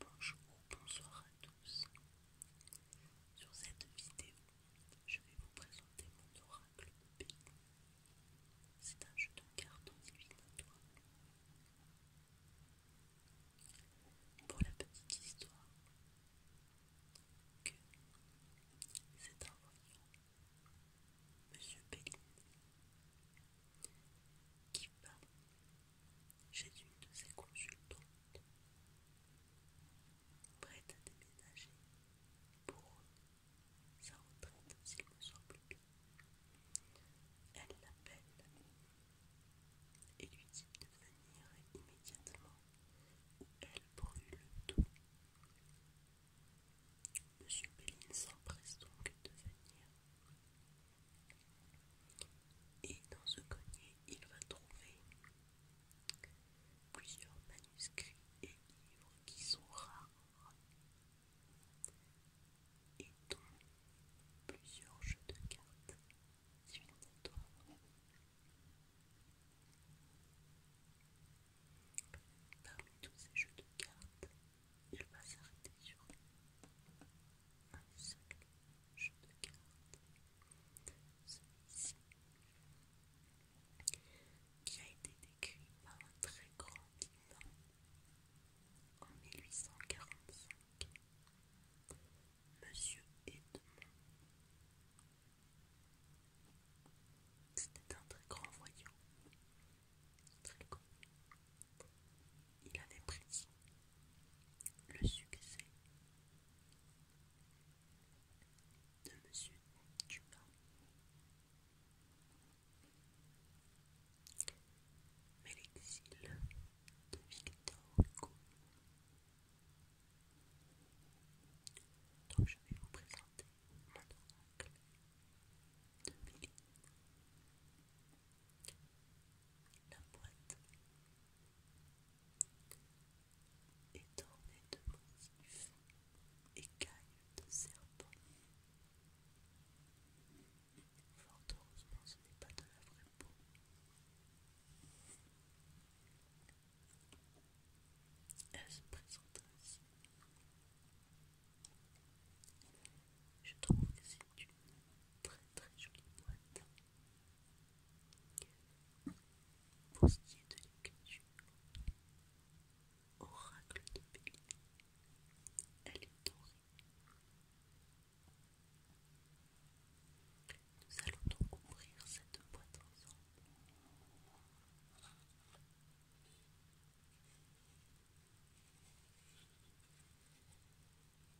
Bonjour, bonsoir à tous. Sur cette vidéo, je vais vous présenter mon oracle de C'est un jeu de cartes divinatoire. Pour la petite histoire, que c'est un voyant, Monsieur Bélier, qui va j'ai une de ses consultantes, prête à déménager pour sa retraite, s'il me semble bien. Elle l'appelle et lui dit de venir immédiatement où elle brûle tout. Monsieur Béline s'empresse donc de venir. Et dans ce grenier, il va trouver plusieurs manuscrits et livres qui sont rares et dont plusieurs jeux de cartes Parmi tous ces jeux de cartes, il va s'arrêter sur un seul je regarde celui-ci qui a été décrit par un très grand en 1845, Monsieur Edmond. C'était un très grand voyant, très grand. Il avait prédit le succès de Monsieur Duba, Mais l'exil de Victor Hugo, dont je vais vous présenter mon oracle de Méline. La boîte est ornée de motifs écailles de serpent. Fort heureusement, ce n'est pas de la vraie peau. Elle se présente ainsi. Je trouve que c'est une très très jolie boîte. Pour ce qui est de l'écriture, oracle de Bélier, elle est dorée. Nous allons donc ouvrir cette boîte ensemble.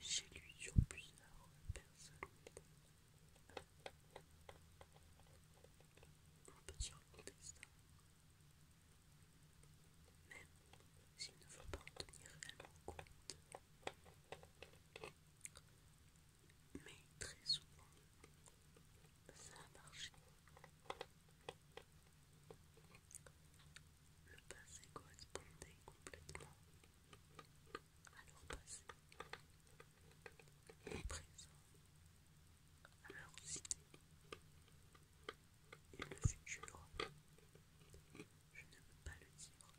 J'ai lu sur plusieurs personnes. On peut y raconter ça. Même s'il ne faut pas en tenir compte. Mais très souvent, ça a marché. Le passé correspondait complètement à leur passé, le présent à leur idées, et le futur, je ne veux pas le dire.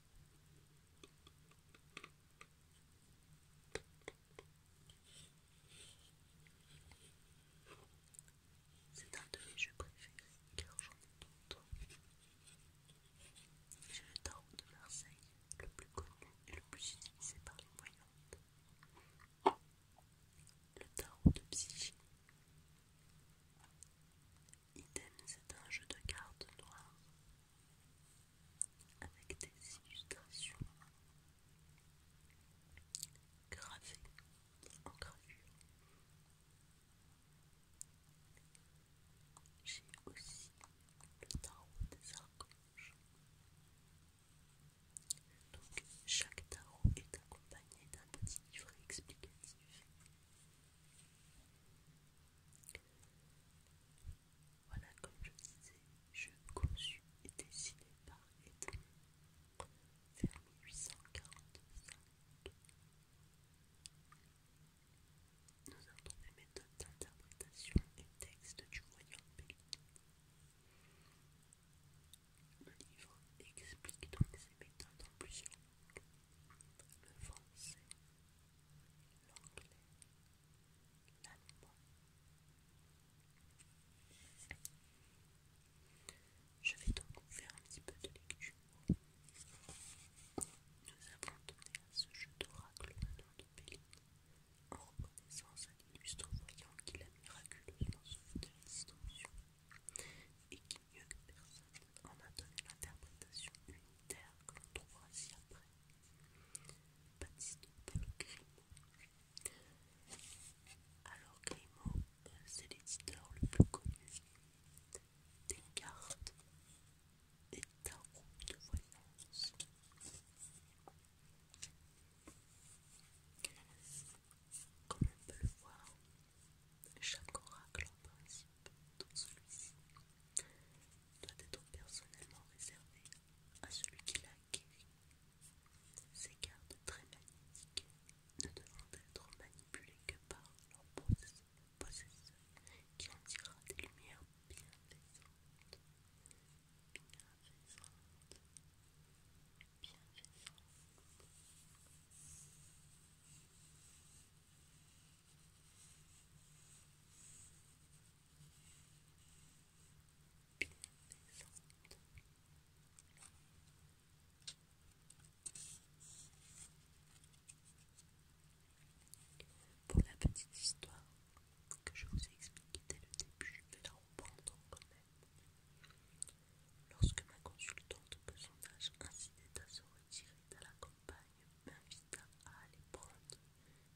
C'est un de mes jeux préférés car j'en ai d'autres. J'ai le tarot de Marseille, le plus connu et le plus utilisé par les voyantes. Le tarot de Psyche. Idem, c'est un jeu de cartes noires avec des illustrations gravé en gravure. J'ai aussi le tarot des archanges. Donc chaque tarot est accompagné d'un petit livret explicatif. Voilà, comme je disais, je conçu et dessiné par Edmond vers 1845. Nous avons des méthodes d'interprétation et textes du Royaume-Uni. Le livre explique donc ces méthodes en plusieurs langues le français, l'anglais, l'allemand, je vais donc vous faire un petit peu de lecture. Nous avons donné à ce jeu d'oracle le nom de Péline, en reconnaissance à l'illustre voyant qu'il a miraculeusement sauvé de la distorsion, et qui mieux que personne en a donné l'interprétation unitaire que l'on trouvera ci après. Baptiste le crime. Alors Grimaud, c'est l'éditeur le plus connu des cartes et de voyance. Comme on peut le voir, chaque oracle en principe, dont celui-ci, doit être personnellement réservé à celui qui l'a acquéri. Ces cartes très magnétiques ne devront être manipulées que par leur possesseur qui en tirera des lumières bienfaisantes. Bienfaisantes. Bienfaisantes. Pour la petite histoire que je vous ai expliquée dès le début, je vais la reprendre quand même. Lorsque ma consultante, de son âge incitait à se retirer de la campagne, m'invita à aller prendre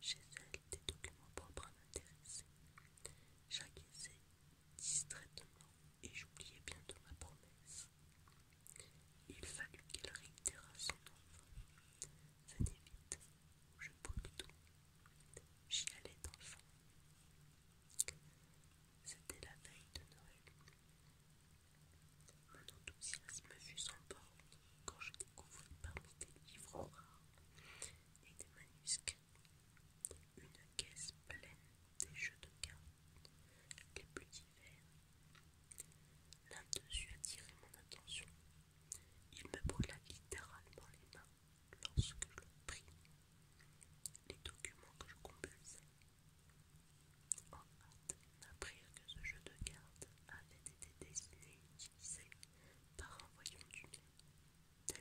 chez elle des documents propres à m'intéresser, distraitement, et j'oubliais bientôt ma promesse. Il fallut qu'elle réitérât son Ça Ça vite, je brûle tout. J'y allais d'enfant. C'était la veille de Noël. Mon enthousiasme fut sans borne quand je découvris parmi des livres rares et des manuscrits une caisse pleine des jeux de cartes les plus divers. L'un dessus a attiré mon attention. Il me brûla littéralement les mains lorsque je le pris. Les documents que je compulsais en hâte d'apprendre que ce jeu de cartes avait été dessiné et utilisé par un voyant du d'Edmond,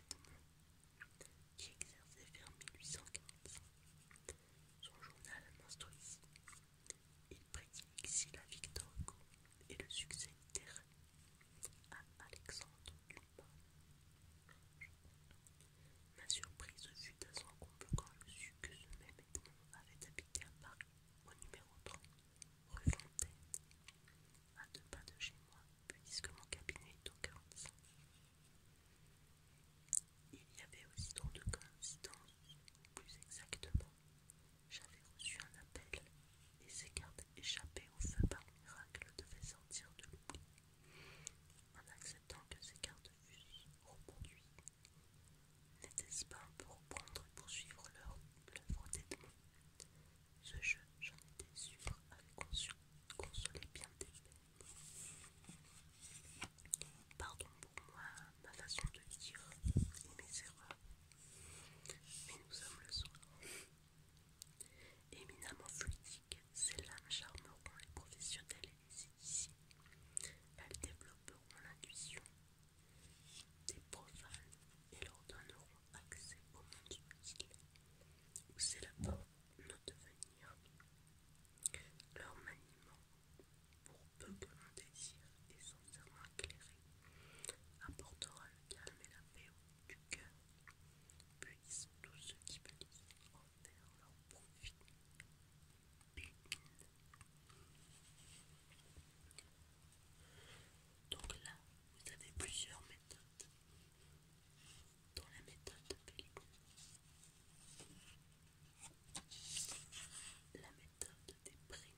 qui exerçait vers 1845. Son journal monstrueux ici. Il prédit ici la victoire et le succès littéraire à Alexandre Dumas. Ma surprise fut à son comble quand je sus que ce même Edmond avait habité à Paris, au numéro 3, rue Fontaine, à deux pas de chez moi, puisque mon cabinet est au 45. Il y avait aussi trop de coïncidences, plus exactement. J'avais reçu un appel et ces cartes échappées au feu par miracle devaient sortir de l'oubli. En acceptant que ces cartes fussent reproduites, n'était-ce pas pour reprendre et poursuivre l'œuvre ce jeu, j'en étais sûre, avait consolé bien des Pardon pour moi, ma façon de dire et mes erreurs. Mais nous sommes le soir. Éminemment fluidique, ces lames charmeront les professionnels et c'est ici, Elles développeront l'intuition des profanes et leur donneront accès au monde utile, où c'est la porte nos devenirs, leur maniement, pour peu que mon désir est sincèrement éclairé, apportera le calme et la paix au cœur. Puissent tous ceux qui bénissent en faire leur profit. Donc là, vous avez plusieurs méthodes dans la méthode La méthode des prénoms,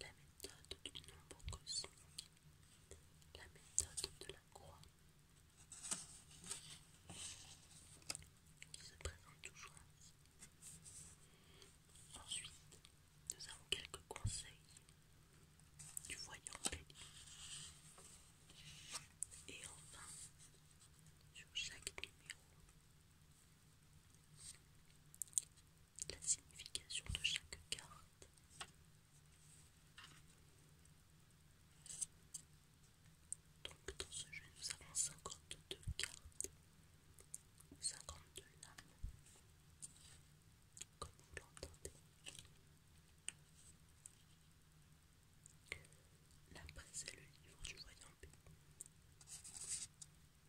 la méthode du nombre cosmique, la méthode de la croix, qui se présente toujours Ensuite, nous avons quelques conseils du voyant Et enfin, sur chaque numéro, la signification de chaque carte. Donc dans ce jeu, nous avons 52 cartes, 52 lames, comme vous l'entendez. Là, c'est le livre du voyant B.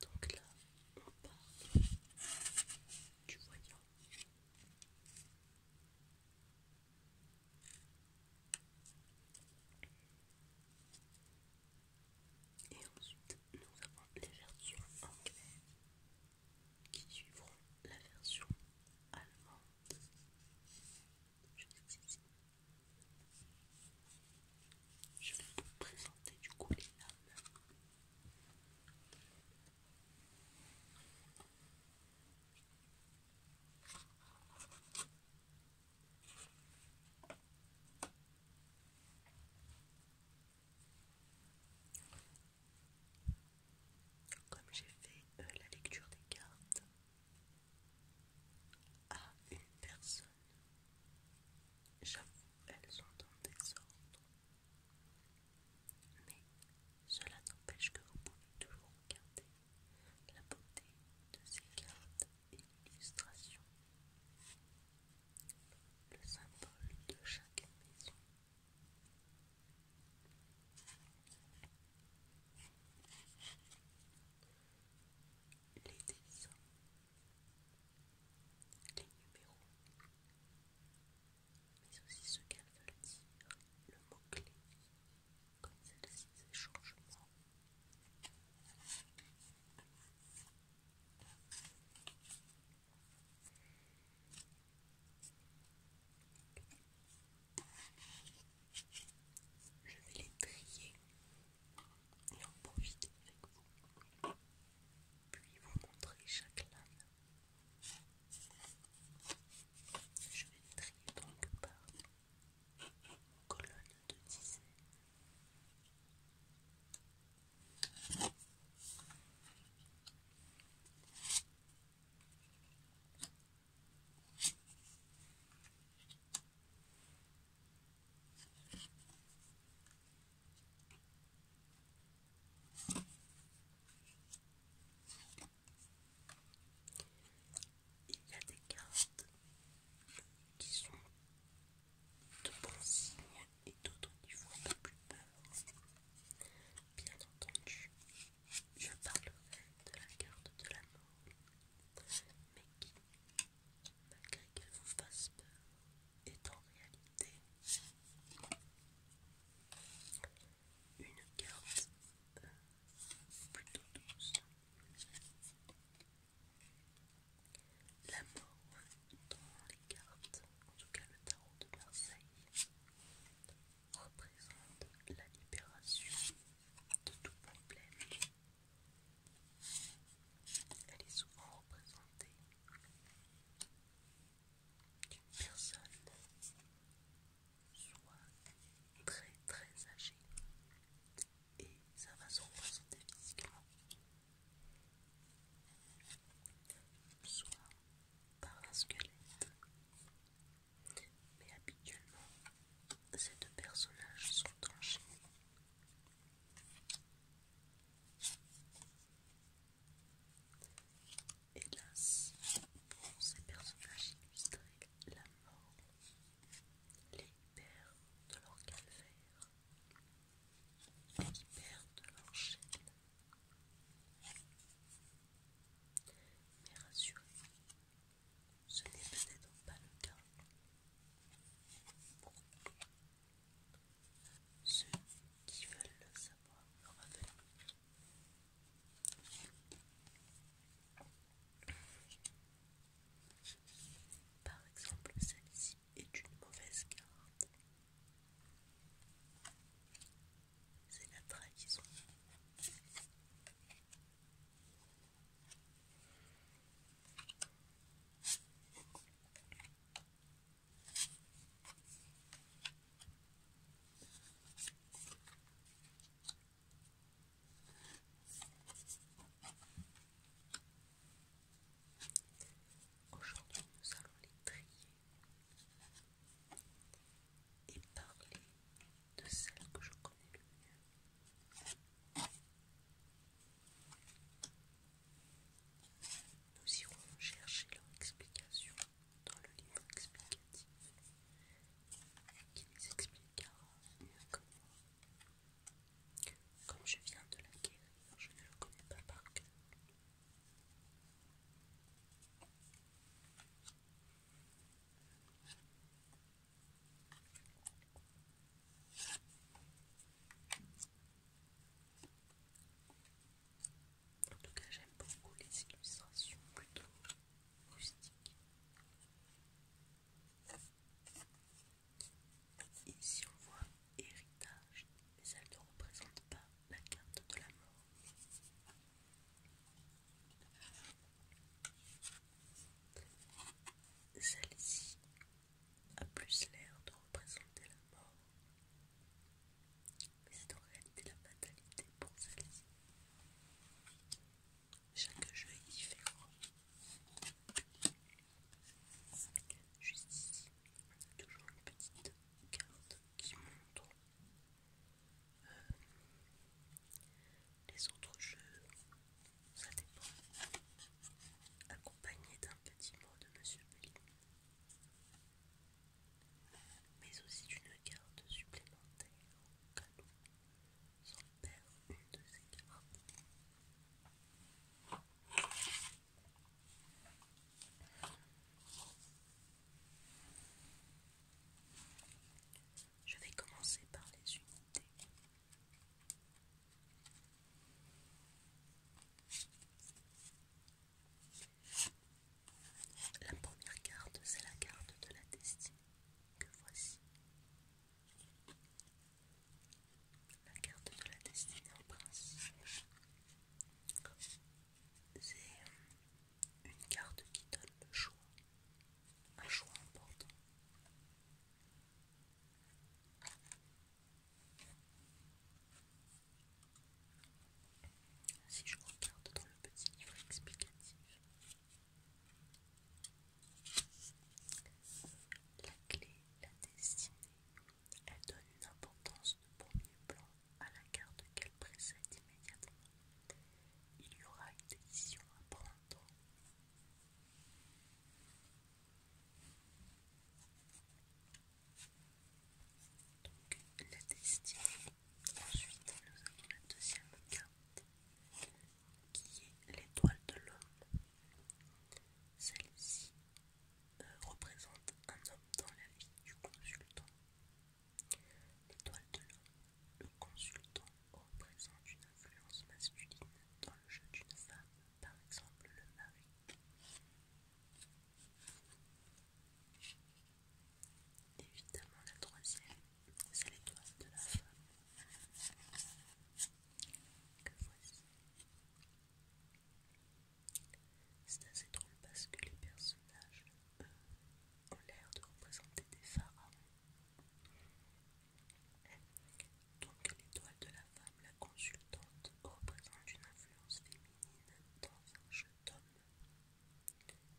Donc là, on parle du voyant. Et ensuite, nous avons les versions anglaises qui suivront la version allemande Je vais vous présenter du coup les lames comme j'ai fait euh, la lecture des cartes à une personne, j'avoue, elles sont en désordre. Mais cela n'empêche que vous pouvez toujours regarder la beauté de ces cartes et l'illustration. Le symbole de chaque maison les dessins, les numéros, mais aussi ce qu'elles veulent dire, le mot-clé, comme celle-ci, ces changements. Je vais les trier et en profiter avec vous, puis vous montrer chaque lame. Je vais les trier donc par colonne de dix. Il y a des cartes qui sont de bons signe et d'autres qui font un plus peur. Bien entendu, je parlerai de la carte de la mort, mais qui, malgré qu'elle vous fasse peur, est en réalité une carte euh, plutôt douce. La mort dans les cartes, en tout cas le tarot de Marseille, représente la libération de tout problème. Elle est souvent représentée d'une personne soit très très âgée et ça va se représenter physiquement, soit par un squelette mais habituellement ces deux personnages sont enchaînés. Hélas, pour ces personnages illustrés, la mort les libère de leur calvaire, les libère de leur chaîne. Mais rassurez-vous, ce n'est peut-être pas le cas pour ceux qui veulent le savoir Par exemple, celle-ci est une mauvaise carte. C'est la trahison. Aujourd'hui, nous allons les trier et parler de celle que je connais le mieux. Nous irons chercher leur explication dans le livre explicatif qui les expliquera mieux que moi. Comme je viens de l'acquérir, je ne le connais pas par cœur. En tout cas, j'aime beaucoup les illustrations plutôt rustiques. Ici, on voit héritage, mais ça ne représente pas la carte de la mort. Celle-ci a plus l'air de représenter la mort, mais c'est en réalité la fatalité pour celle-ci. Chaque jeu est différent. Juste ici, on a toujours une petite carte qui montre euh, les autres jeux, ça dépend. Accompagné d'un petit mot de Monsieur Pelin, mais aussi d'une carte supplémentaire au cadeau. sans perdre une de ces cartes. Je vais commencer par les unités. La première carte, c'est la carte de la destinée que voici. La carte de la destinée en principe, c'est euh, une carte qui donne le choix. Un choix important. Si je regarde dans le petit livre explicatif, la clé, la destinée, elle donne une importance de premier plan à la carte qu'elle précède immédiatement. Il y aura une décision à prendre. Donc la destinée. Ensuite nous avons la deuxième carte qui est l'étoile de l'homme. Celle-ci euh, représente un homme dans la vie du consultant L'étoile de l'homme, le consultant, représente une influence masculine dans le jeu d'une femme, par exemple le mari. Évidemment, la troisième, c'est l'étoile de la femme. Que voici. C'est assez drôle parce que les personnages, ont l'air de représenter des pharaons donc l'étoile de la femme, la consultante, représente une influence féminine dans un jeu d'homme.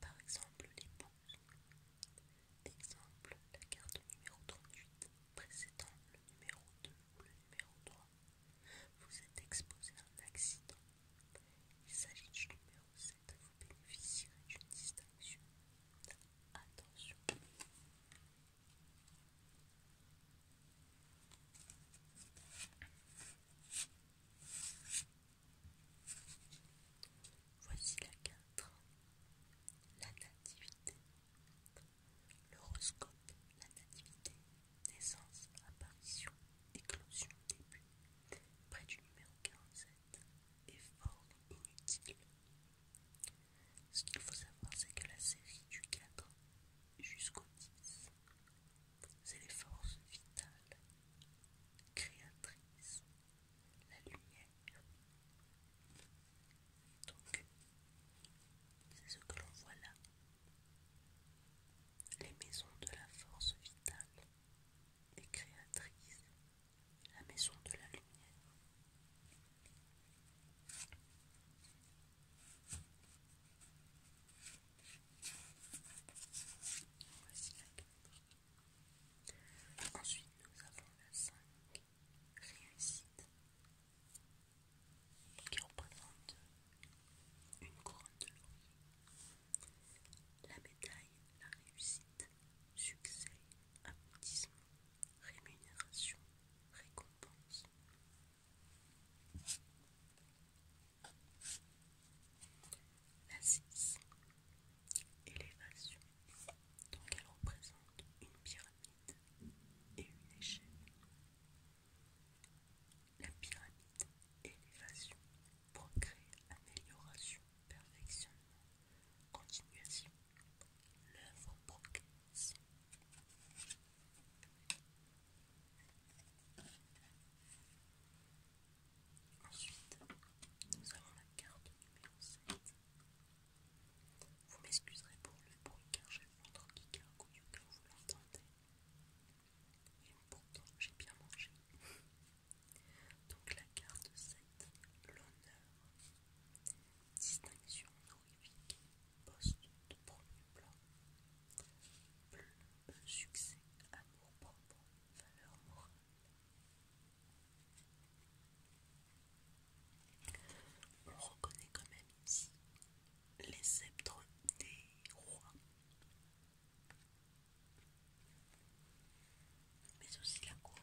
Par exemple l'épouse. Exemple, la carte numéro 38 précédant le numéro 2 ou le numéro 3. Vous êtes exposé à un accident. Il s'agit du numéro 7 bénéficier d'une distinction. Attention. Voici la 4. La nativité. L'horoscope, la nativité, naissance, apparition, éclosion, début. Près du numéro 15, et forme inutile. Ce qu'il faut savoir, c'est que la série du 4 jusqu'au 10, c'est les forces vitales, créatrices, la lumière. Donc, c'est ce que l'on voit là. Les maisons de la force vitale et créatrice, la maison de la lumière. Voici la Ensuite, nous avons la 5, réussite, qui représente une couronne de l'or La médaille, la réussite, succès, aboutissement, rémunération, récompense. La 6. Élévation. Donc elle représente une pyramide et une échelle. La pyramide élévation progrès, amélioration, perfectionnement, continuation, l'œuvre progresse. Ensuite, nous avons la carte numéro 7. Vous m'excuserez pour le bruit car j'ai le ventre qui gargouille au cas vous l'entendez. Et pourtant, j'ai bien mangé. Donc la carte 7, l'honneur, distinction honorifique, poste de premier plan, euh, succès, amour propre, valeur morale. On reconnaît quand même ici les sceptres des rois mais aussi la cour.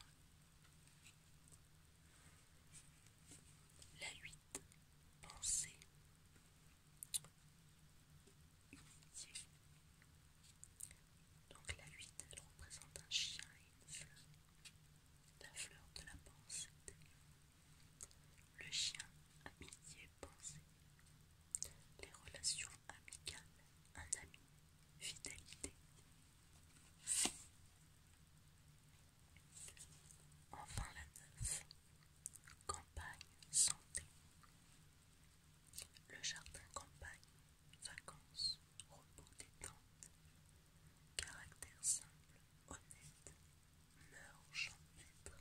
La 8. Pensée. Donc la 8, elle représente un chien et une fleur. La fleur de la pensée. Le chien, amitié, pensée. Les relations amicales. Un ami vitalité. Enfin la neuf, campagne santé. Le jardin campagne, vacances, repos détente, caractère simple, honnête, meurt champ maître,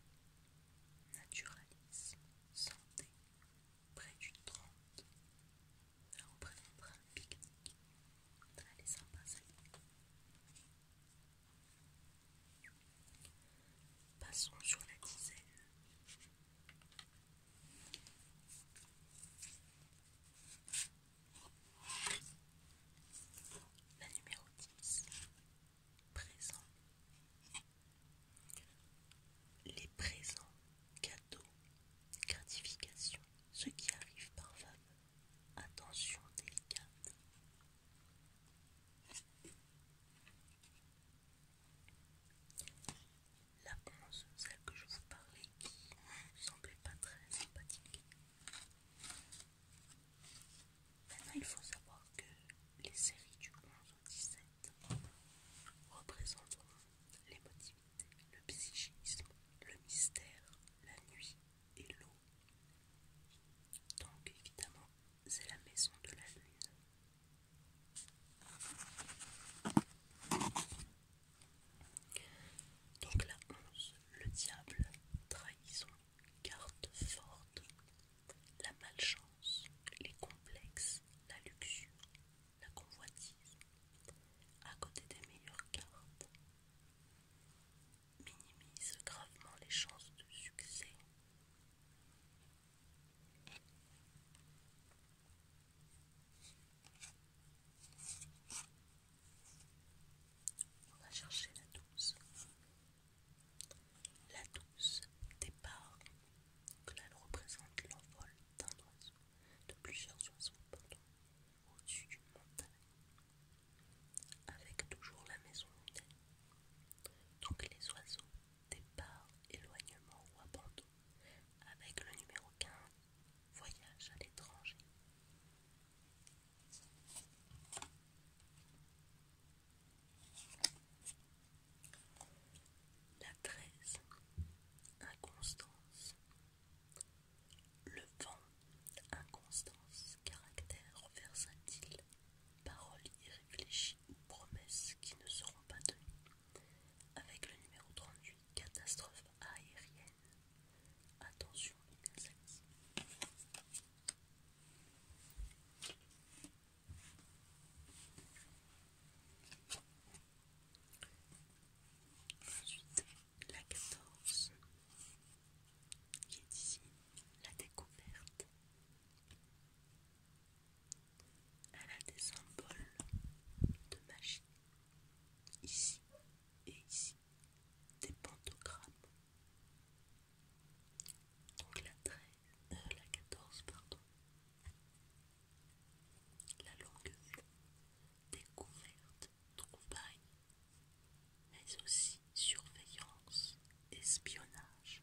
naturalisme, santé, près du 30. Ça représentera un pique-nique. Très sympa, ça. Passons sur la dizaine. La numéro 10. Présent. Les présents Gratification, ce qui arrive par Attention délicate. La bronze, celle que je vous parlais, qui semblait pas très sympathique. Maintenant, il faut savoir que les séries du 11 au 17 représentent les motifs le psychisme, le mystère, la nuit et l'eau. Donc évidemment, c'est la maison de la lune. Donc la 11, le diable, trahison, carte forte, la malchance, les complexes, la luxure, la convoitise, à côté des meilleures cartes, minimise gravement les chances de succès. On va chercher la douce. La douce départ, que elle représente l'envol d'un oiseau de plusieurs oiseaux au-dessus du montagne, avec toujours la maison Donc les oiseaux, départ, éloignement ou abandon, avec le numéro 15, voyage à l'étranger. La treize. Inconstance. Le vent, inconstance, caractère versatile, paroles irréfléchies ou promesses qui ne seront pas tenues. Avec le numéro 38, catastrophe aérienne. Attention Ensuite, la quatorze, qui est ici, la découverte. Elle a des symboles de magie ici et ici, des pantogrammes, Donc la treize, euh, la 14 pardon, la longueur découverte, trouvaille, mais aussi surveillance, espionnage.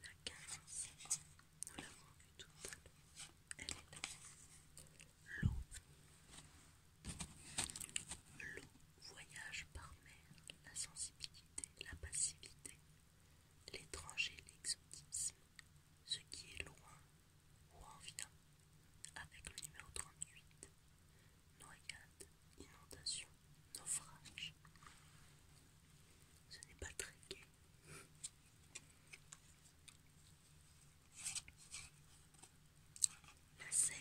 La 15, nous l'avons vu tout à l'heure, elle est là. L'eau. L'eau voyage par mer, la sensibilité, la passivité, L'étranger, l'exotisme, ce qui est loin ou en vient, avec le numéro 38, noyade, inondation, naufrage. Ce n'est pas très gai. La 16,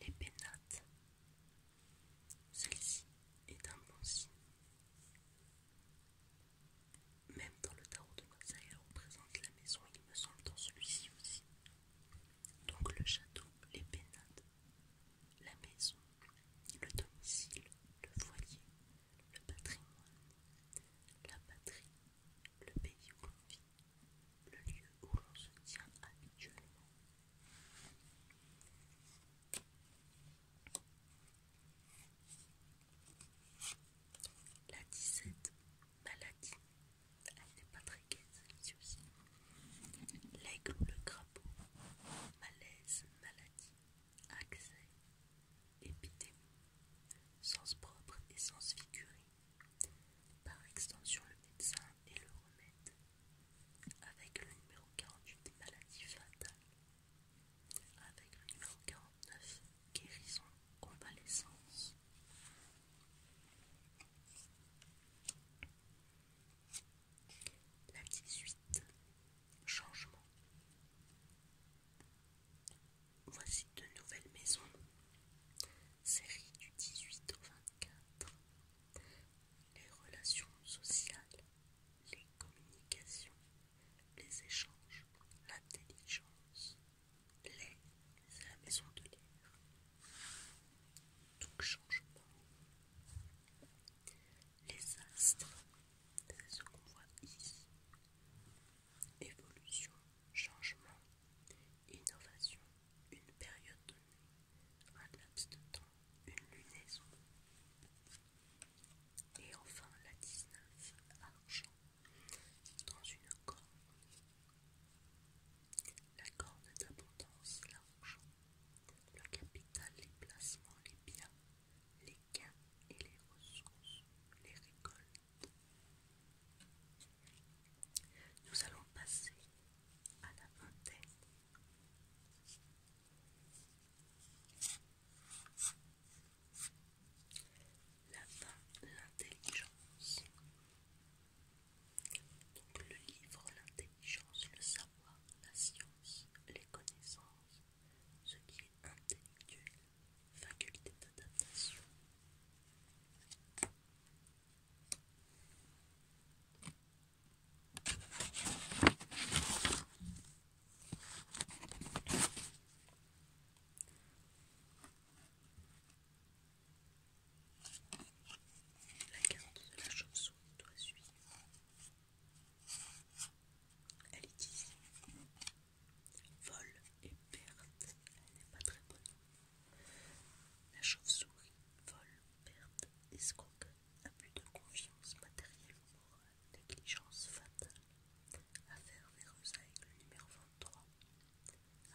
les pénates, celle-ci est un bon signe. Même dans le tarot de Mosa, elle représente la maison, il me semble, dans celui-ci aussi. Donc le château, les pénades, la maison, le domicile, le foyer, le patrimoine, la patrie, le pays où l'on vit, le lieu où l'on se tient habituellement, la 17, maladie. Elle n'est pas très gaie celle-ci aussi. L'aigle ou le crapaud. Malaise, maladie, accès, épidémie, sens propre et sens figuré. Par extension, le médecin et le remède avec le numéro 48 des maladies fatales, avec le numéro 49 guérison, convalescence. La 18 changement. Voici de nouvelles maisons. Série du 18 au 24 les relations sociales, les communications, les échanges, l'intelligence, les c'est la maison de l'air. Tout changement. Les astres, c'est ce qu'on voit ici. Évolution, changement, innovation, une période de un laps de temps, une lunaison. Et enfin la 19, argent, dans une corne La corne d'abondance, l'argent, le capital, les placements, les biens, les gains et les ressources, les récoltes. Nous allons passer à la vingtaine l'intelligence. Donc le livre, l'intelligence, le savoir, la science, les connaissances, ce qui est intellectuel, faculté d'adaptation. La carte de la chauve-souris doit suivre. Elle est ici. Vol et perte. Elle n'est pas très bonne. La chauve-souris vole, perte, escroque, abus de confiance matérielle ou négligence fatale. Affaire Véreuse avec le numéro 23,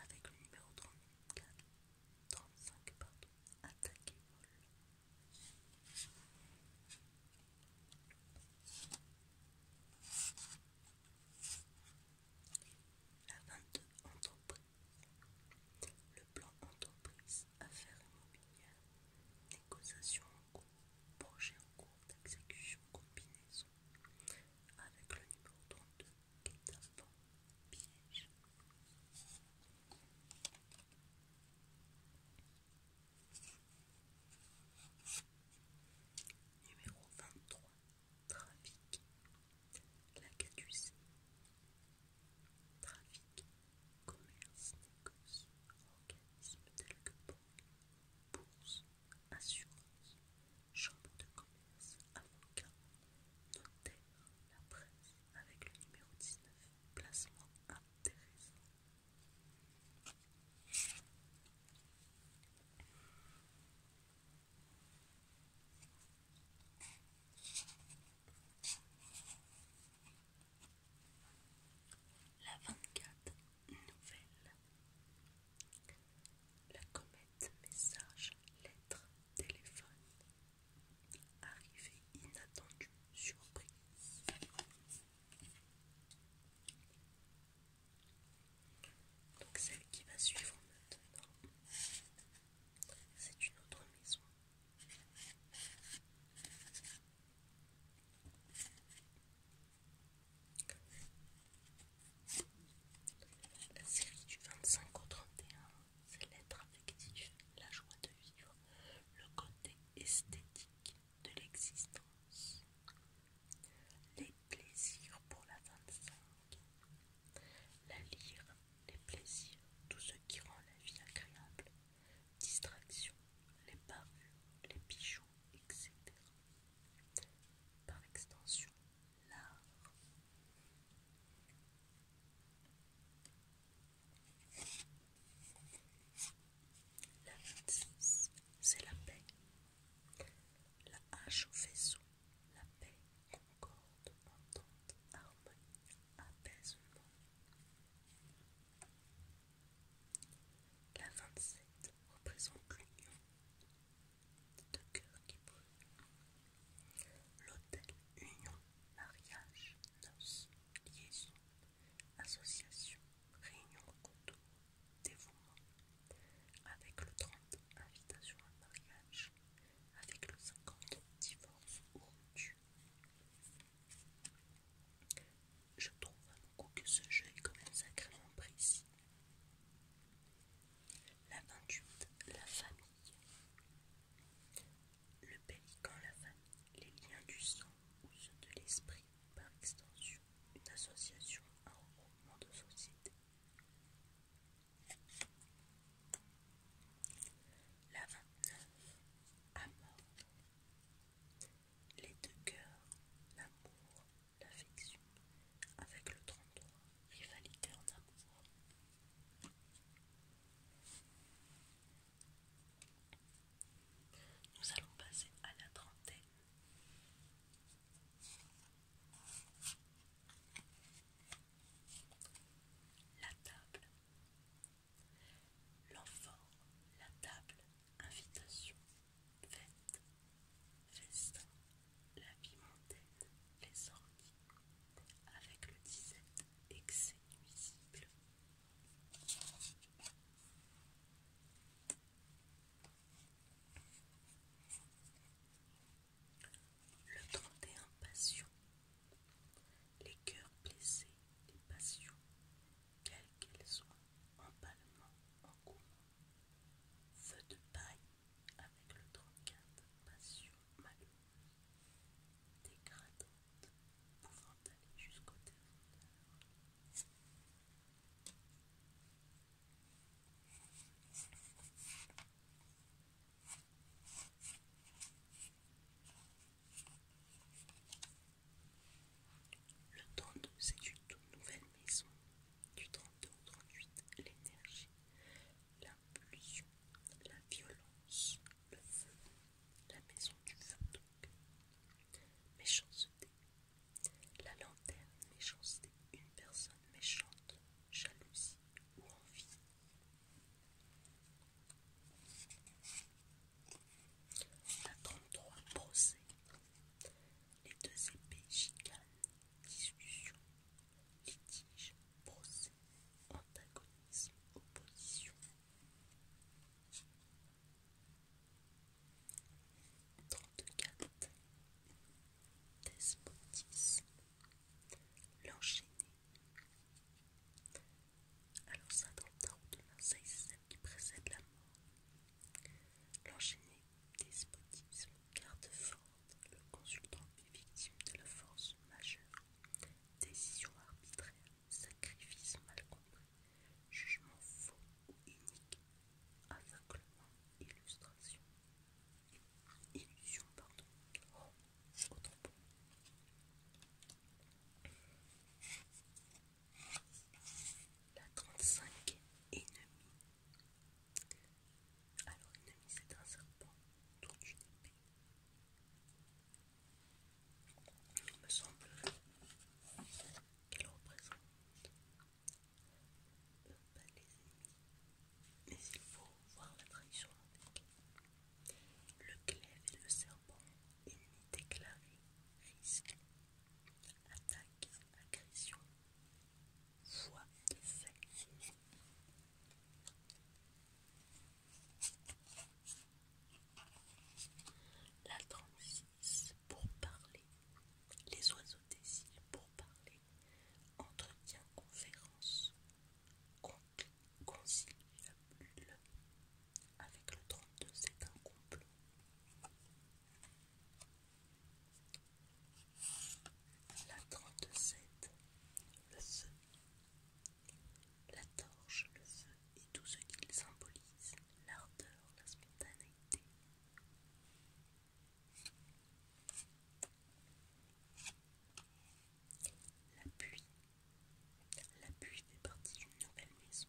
avec le numéro 34, 35, pardon, attaque et vol. La 22 entreprise. Le plan entreprise affaires immobilières, négociations en cours, projets en cours d'exécution, combinaison avec le numéro 32, un bon piège. Numéro 23, trafic. La caducée. Trafic, commerce, négoce, organismes tels que banque, bourse, assurance, chambre de commerce, avocat, notaire, la presse avec le numéro 19, placement intéressant. La 24 nouvelle. La comète message lettre téléphone. Arrivée inattendue surprise. Donc celle qui va suivre maintenant, c'est une autre maison. La série du 25 au 31, c'est l'être affectif, la joie de vivre, le côté esthétique de l'existence, les plaisirs pour la 25, la lire, les plaisirs, tout ce qui rend la vie agréable, Distraction, les parues, les bijoux, etc. Par extension, l'art. La 26, c'est la paix. La hache au faisceau, la paix, concorde, entente, harmonie, apaisement, la 27 représente l'union de cœur qui brûlent, L'autel union, mariage, noces, liaison, association, réunion, contours, dévouement. Avec le 30, invitation à mariage. Avec le 50, divorce ou rupture. Je trouve beaucoup que ce jeu est quand même sacrément précis. La 28, la famille. Le pélican, la famille, les liens du sang ou ceux de l'esprit, par extension, une association, un regroupement de société. La 29, à mort, les deux cœurs, l'amour, l'affection, avec le 33, rivalité en amour. Nous allons passer à la trentaine. La table, L'enfant, la table, invitation, fête, festin, la vie mondaine, les sorties, avec le 17 excès nuisible. Le 31 passion. Les cœurs blessés, les passions, quelles qu'elles soit, empalement en commun, feu de paille avec le trocade, passion malheureuse, dégradante, pouvant aller jusqu'au terreur. Le 32, c'est une toute nouvelle maison. Du 32 au 38, l'énergie, l'impulsion, la violence, le feu, la maison du feu donc. Méchanceté, la lanterne, méchanceté, une personne méchante, jalousie ou envie. La 33 procès. Les deux épées chicanes, discussion, litige, procès, antagonisme, opposition. 34. Despotisme, L'enchaîner. Alors ça, s'attendant c'est celle qui précède la mort, l'enchaîné despotisme garde forte le consultant est victime de la force majeure, décision arbitraire, sacrifice mal compris, jugement faux ou unique, aveuglement, illustration, illusion, pardon, la 35 ennemie. Alors ennemi c'est un serpent toute une épée. Il me semble qu'elle représente les ennemis. Mais il faut voir la trahison avec. Le glaive et le serpent Ennemis déclaré risque attaque agression voix de La 36 pour parler. Les oiseaux des îles pour parler. Entretien conférence. conciliabule avec le 32, c'est un couple La 37, le feu. La torche, le feu et tout ce qu'il symbolise, l'ardeur, la spontanéité. La pluie, L'appui fait partie d'une nouvelle maison.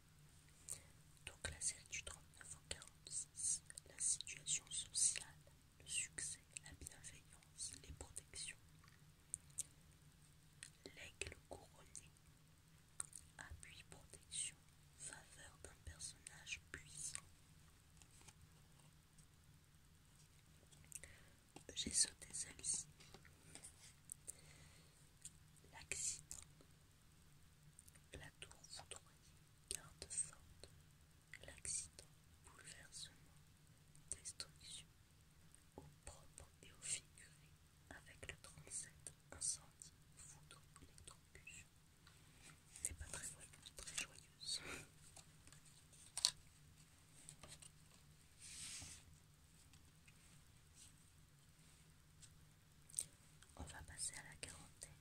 Donc la série du 39 au 46, la situation sociale, le succès, la bienveillance, les protections. L'aigle couronné, appui, protection, faveur d'un personnage puissant. J'ai sauté celle-ci. L'accident. La tour foudroyée, garde forte. L'accident, bouleversement, destruction, au propre et au figuré, avec le 37, incendie, foudre, électrocution. C'est pas très, très joyeuse. On va passer à la quarantaine.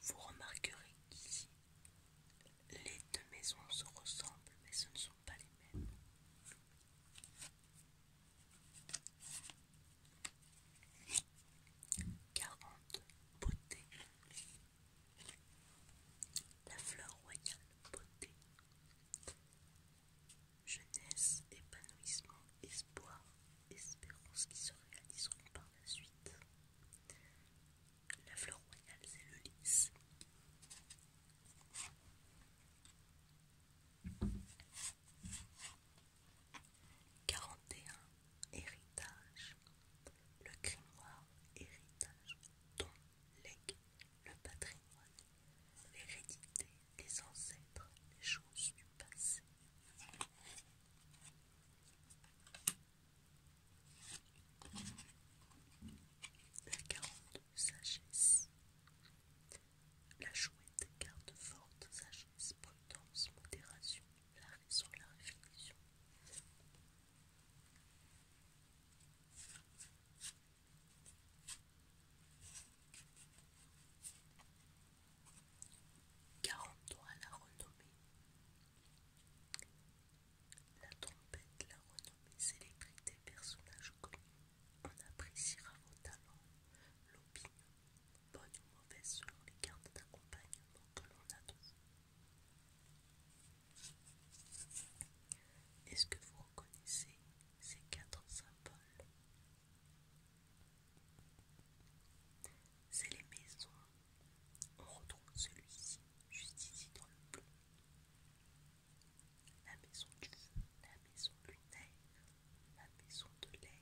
Vous remarquerez qu'ici, les deux maisons se ressemblent, mais ce ne sont pas les mêmes. 40, beauté. La fleur royale beauté. Jeunesse, épanouissement, espoir, espérance qui se réaliseront par la suite. La fleur royale, c'est le 41 héritage le grimoire héritage ton legs le patrimoine l'hérédité les ancêtres les choses du passé la de sagesse. La chouette garde forte sagesse, prudence, modération, la raison, la réflexion. quarante à la renommée. La trompette, la renommée célébrité des personnages connus, on appréciera vos talents, l'opinion, bonne ou mauvaise selon les cartes d'accompagnement que l'on a de Est-ce que vous reconnaissez ces quatre symboles C'est les maisons. On retrouve celui-ci juste ici dans le bleu la maison du feu, la maison lunaire, la maison de l'air.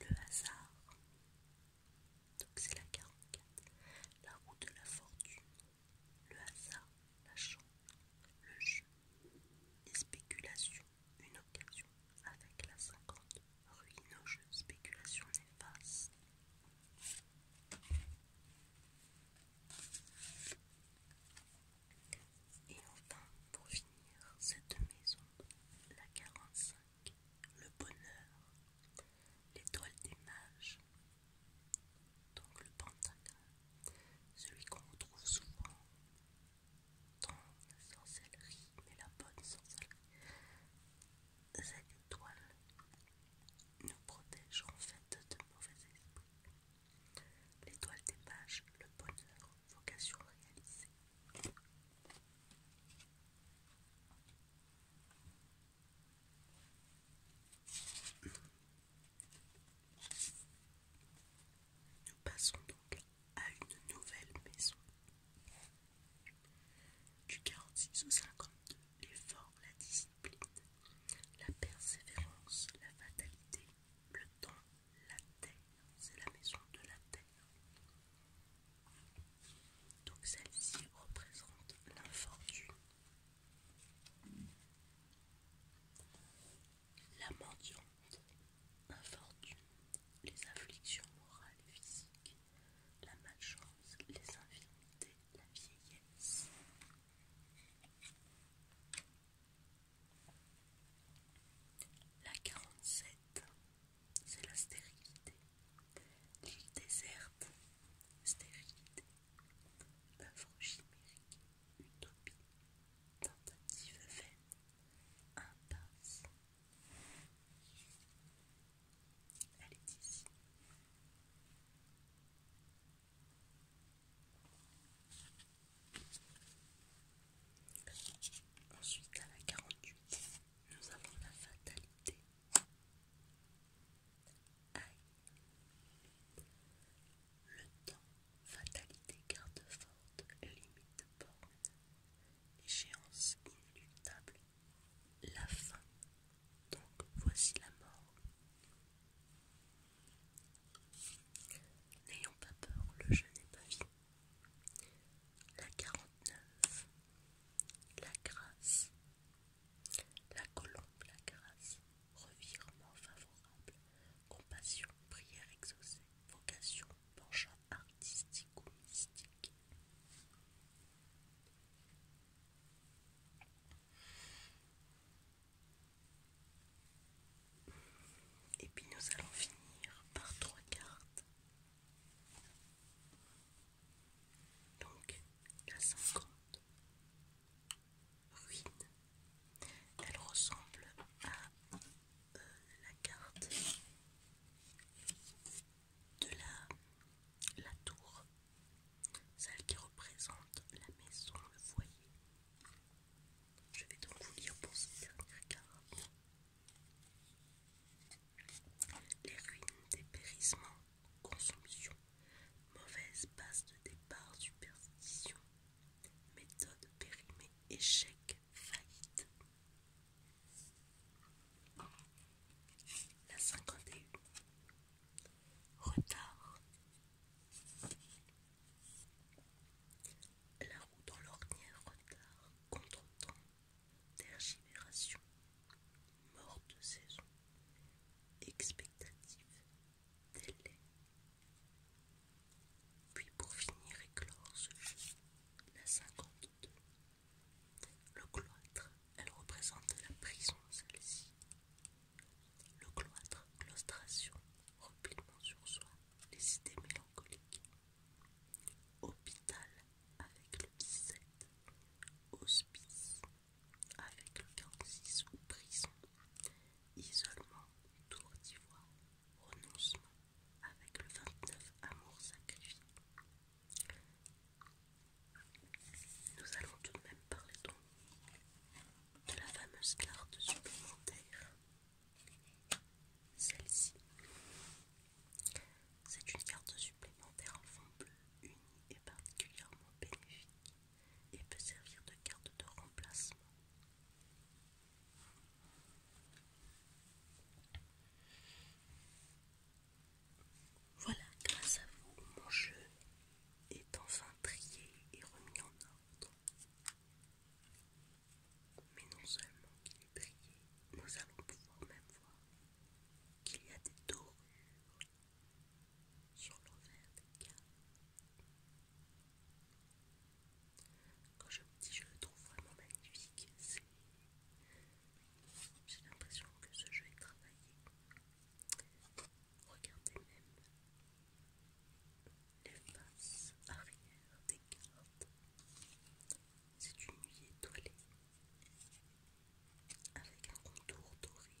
Le hasard, donc c'est la 44, la roue de la fortune, le hasard, la chance, le jeu, Spéculation, une occasion avec la cinquante, jeu, spéculation néfaste. Et enfin, pour finir, cette maison, la 45, le bonheur, l'étoile des mages, donc le pentagramme, celui qu'on retrouve souvent dans la sorcellerie, mais la bonne sorcellerie. Cette étoile nous protège en fait de mauvais esprits. L'étoile des pages, le bonheur, vocation réalisée. Nous passons donc à une nouvelle maison. Du 46 au 52, l'effort, la discipline, la persévérance, la fatalité, le temps, la terre, c'est la maison de la terre. Donc celle-ci représente l'infortune la mendiante, infortune, les afflictions morales et physiques, la malchance, les infirmités, la vieillesse. La 47, c'est la stérilité. L'île déserte, stérilité, œuvre chimérique, utopie, tentative veine, impasse. Elle est ici. Ensuite, à la 48, nous avons la fatalité le temps, fatalité garde forte, limite borne, échéance inéluctable, la fin, donc voici la mort. N'ayons pas peur, le jeu n'est pas vie. La 49, la grâce, la colombe, la grâce, revirement favorable, compassion, prière exaucée, vocation, penchant artistique ou mystique. Et puis nous allons finir par trois cartes. Donc la 50 ruine. Elle ressemble à euh, la carte de la, la tour, celle qui représente la maison, le foyer. Je vais donc vous lire pour cette dernière carte. Les ruines, dépérissement, consommation, mauvaise base de départ, superstition, Méthode périmée, échec, faillite. La 51. Retard. La roue dans l'ornière, retard, contre-temps, tergivération, mort de saison, expectative, puis pour finir et clore ce la 52. Le cloître, elle représente la prison, celle-ci. Le cloître, claustration, repilement sur soi, les idées mélancoliques. Hôpital avec le 17. Hospice avec le 46 ou prison. Isolement, tour d'ivoire renoncement avec le 29 amour sacrifié. Nous allons tout de même parler donc de la fameuse carte supplémentaire. Celle-ci, c'est une carte supplémentaire en fond bleu unie et particulièrement bénéfique et peut servir de carte de remplacement. Voilà, grâce à vous, mon jeu est enfin trié et remis en ordre. Mais non seulement qu'il est trié, nous allons pouvoir même voir qu'il y a des dorures sur l'envers des cartes. Quand je me dis je le trouve vraiment magnifique, c'est. J'ai l'impression que ce jeu est travaillé. Regardez même les faces arrière des cartes. C'est une nuit étoilée avec un contour doré.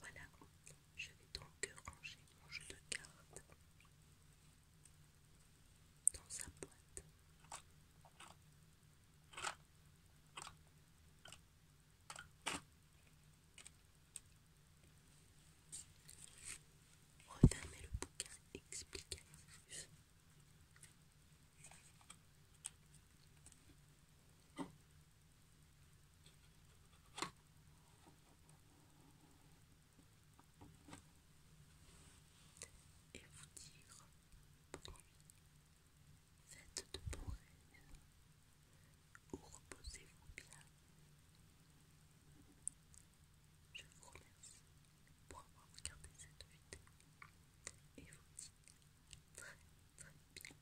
Voilà, je vais donc ranger mon jeu de cartes dans sa boîte. Refermez le bouquin explicatif et vous dire bonne nuit, faites de bons rêves ou reposez-vous bien. Je vous remercie pour avoir regardé cette vidéo et vous dis très très bien.